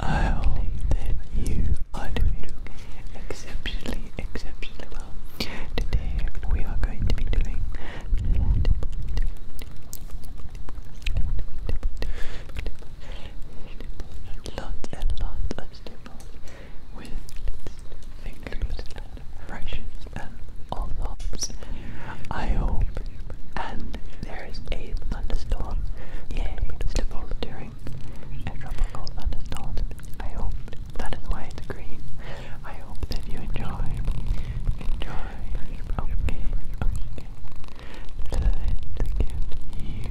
I hope that you are doing exceptionally, exceptionally well. Today we are going to be doing lots and lots of staples with includes brushes and envelopes. I hope. And there is a thunderstorm. Yay, stipple during a tropical thunderstorm. I hope that is why it's green. I hope that you enjoy. Enjoy. Okay, okay. give you some. Let us give you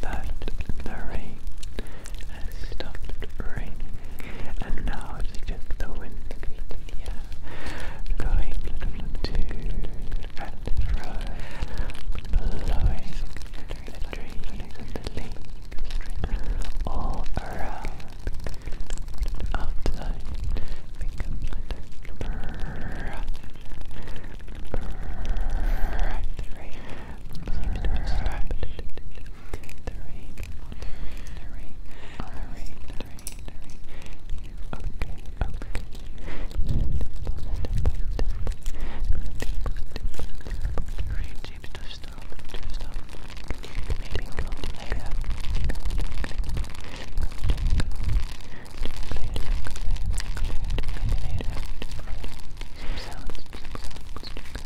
that the rain has stopped raining and now it's just the wind yeah, going to and fro, blowing the all around outside. Right, right. Right. Right the rain, the rain, the rain, the rain, the rain, the rain. Okay, okay. The rain seems to stop, to stop. Maybe go later. Sounds, sounds, sounds.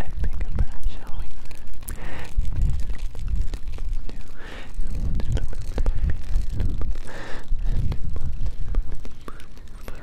I think about showing Brush, brush, brush, brush,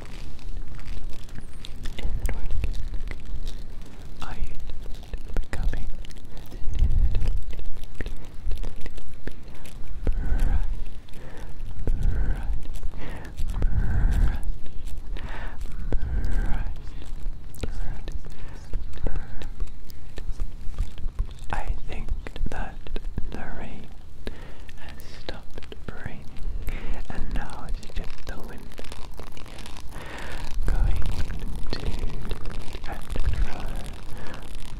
Is it you becoming bright, bright, bright, bright, bright. I think that the rain has stopped burning, and now it's just the wind going to and fro,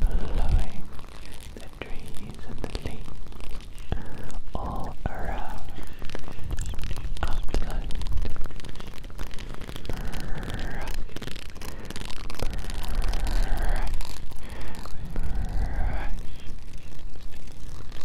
blowing the trees and the leaves all around upland. Brrr. Brrr. Brrr.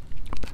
Let's get you some.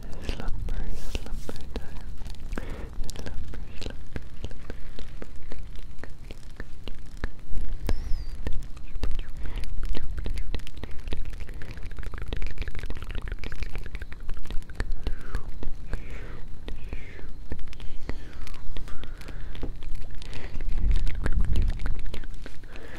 Slumber, slumber time. Slumber, slumber, slumber,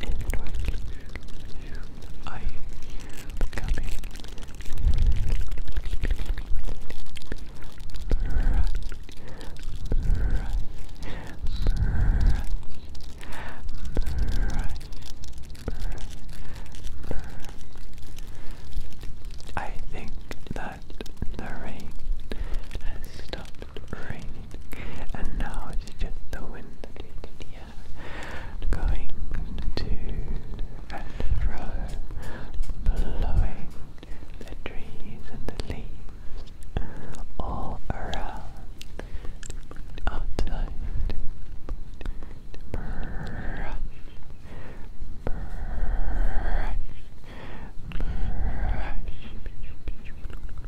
and you I I think that the rain has stopped raining and now is just the wind in the air going to and fro, blowing the trees and the leaves all around, outside,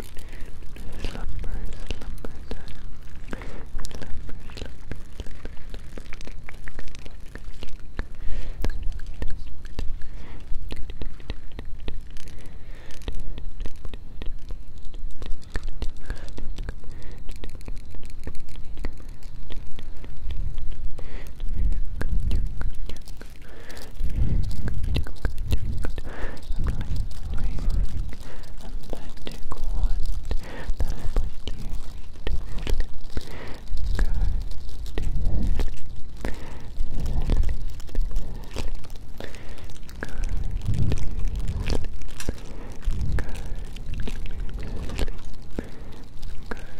slumber, slumber time. Slumber, slumber, I'm like, I'm like, I'm like, magic wand that I put you to sleep. Go to sleep. Sleep. Sleep. Go to sleep. Go to sleep. Go to sleep. Is it working?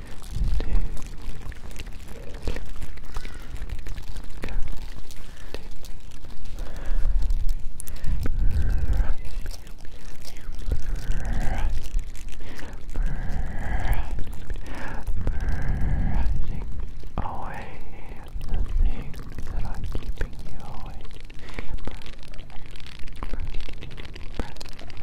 away the things that are keeping you awake.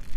Some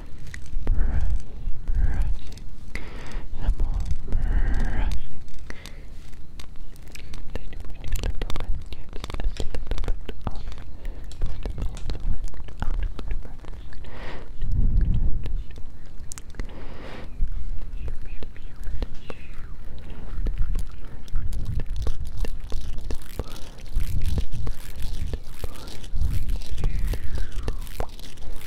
brushing, some more brushing. Then we need a little bit, just a the perfect. Brushing, brushing, brushing, brushing, brushing, brushing, brushing, brushing, brushing, brushing, brushing, brushing, brushing, brushing,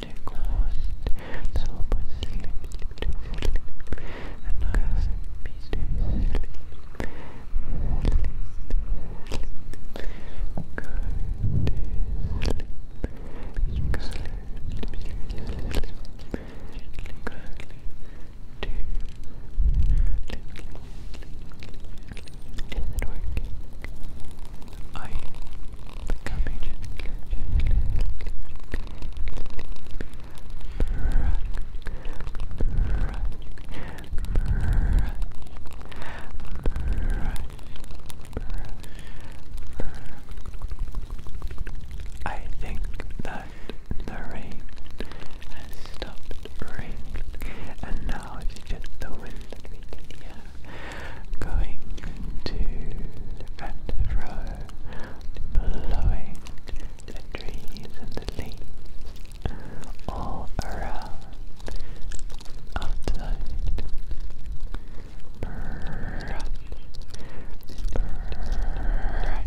magic wand that will put you to sleep and cause peace to sleep. Sleep, sleep. Go to sleep. Go to sleep. Gently, quickly. To sleep. Is it working? Are you Becoming gently, I think that the rain has stopped and now it's just the wind going to and fro, blowing the trees and the leaves all around outside. Brush, brush, brush.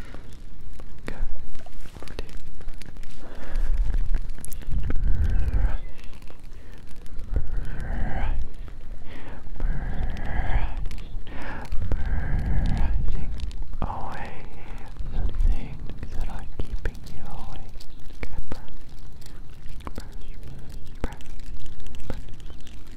Go for Brush, brush, brushing away the things that are keeping you awake. brush, brush, brush, brush, brush,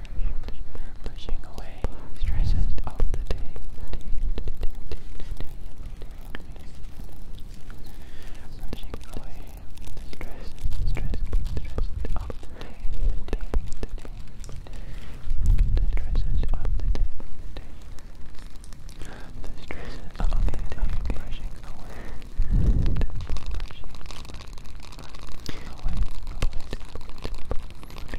pushing away stresses of the day. Pushing away stress, stress, stress of the day. The day, the day, the stresses of the day. The day. The stresses of the day, brushing away, brushing, brushing, brushing away, away,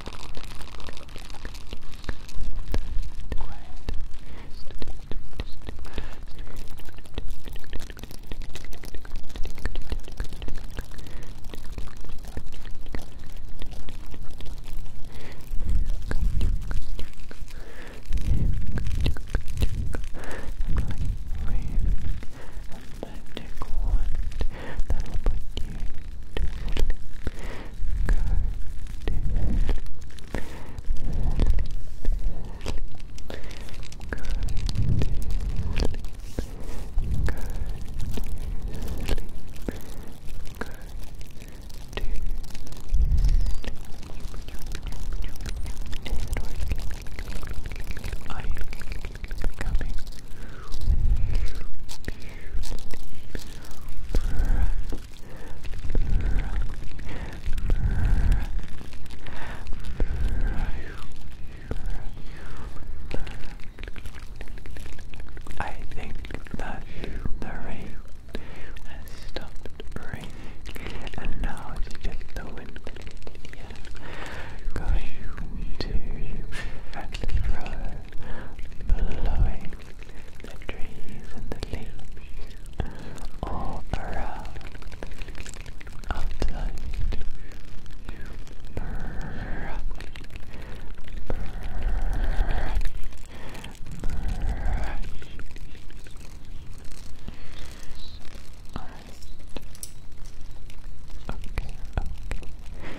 magic wand that'll put you to sleep. Go to sleep. Sleep, sleep. Go to sleep. Go to sleep. Go to sleep. Are you becoming beautiful? I think that the rain has stopped raining and now it's just the wind blowing the trees and the leaves all around outside. Brrr, brrr, brrr. Alright. Okay, okay.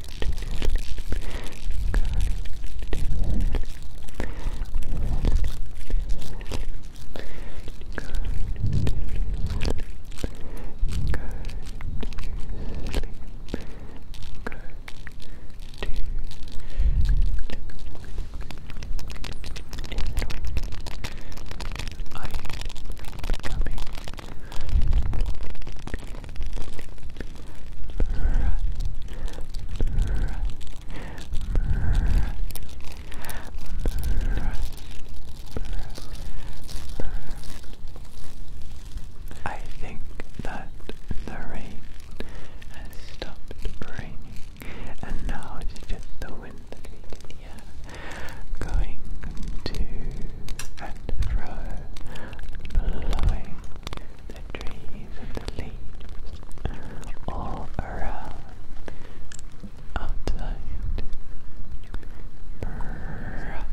coming. I think that the rain has stopped raining and now it's just the wind that we can going to and fro blowing the trees and the leaves all around outside. Brrr. Brrr.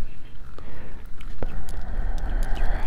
Brrr.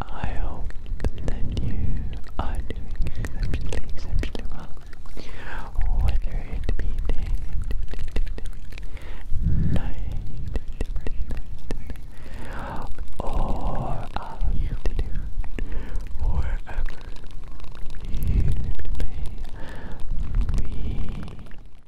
I hope that you are doing exceptionally, exceptionally well. Whether it be day, night, or afternoon, wherever you may be.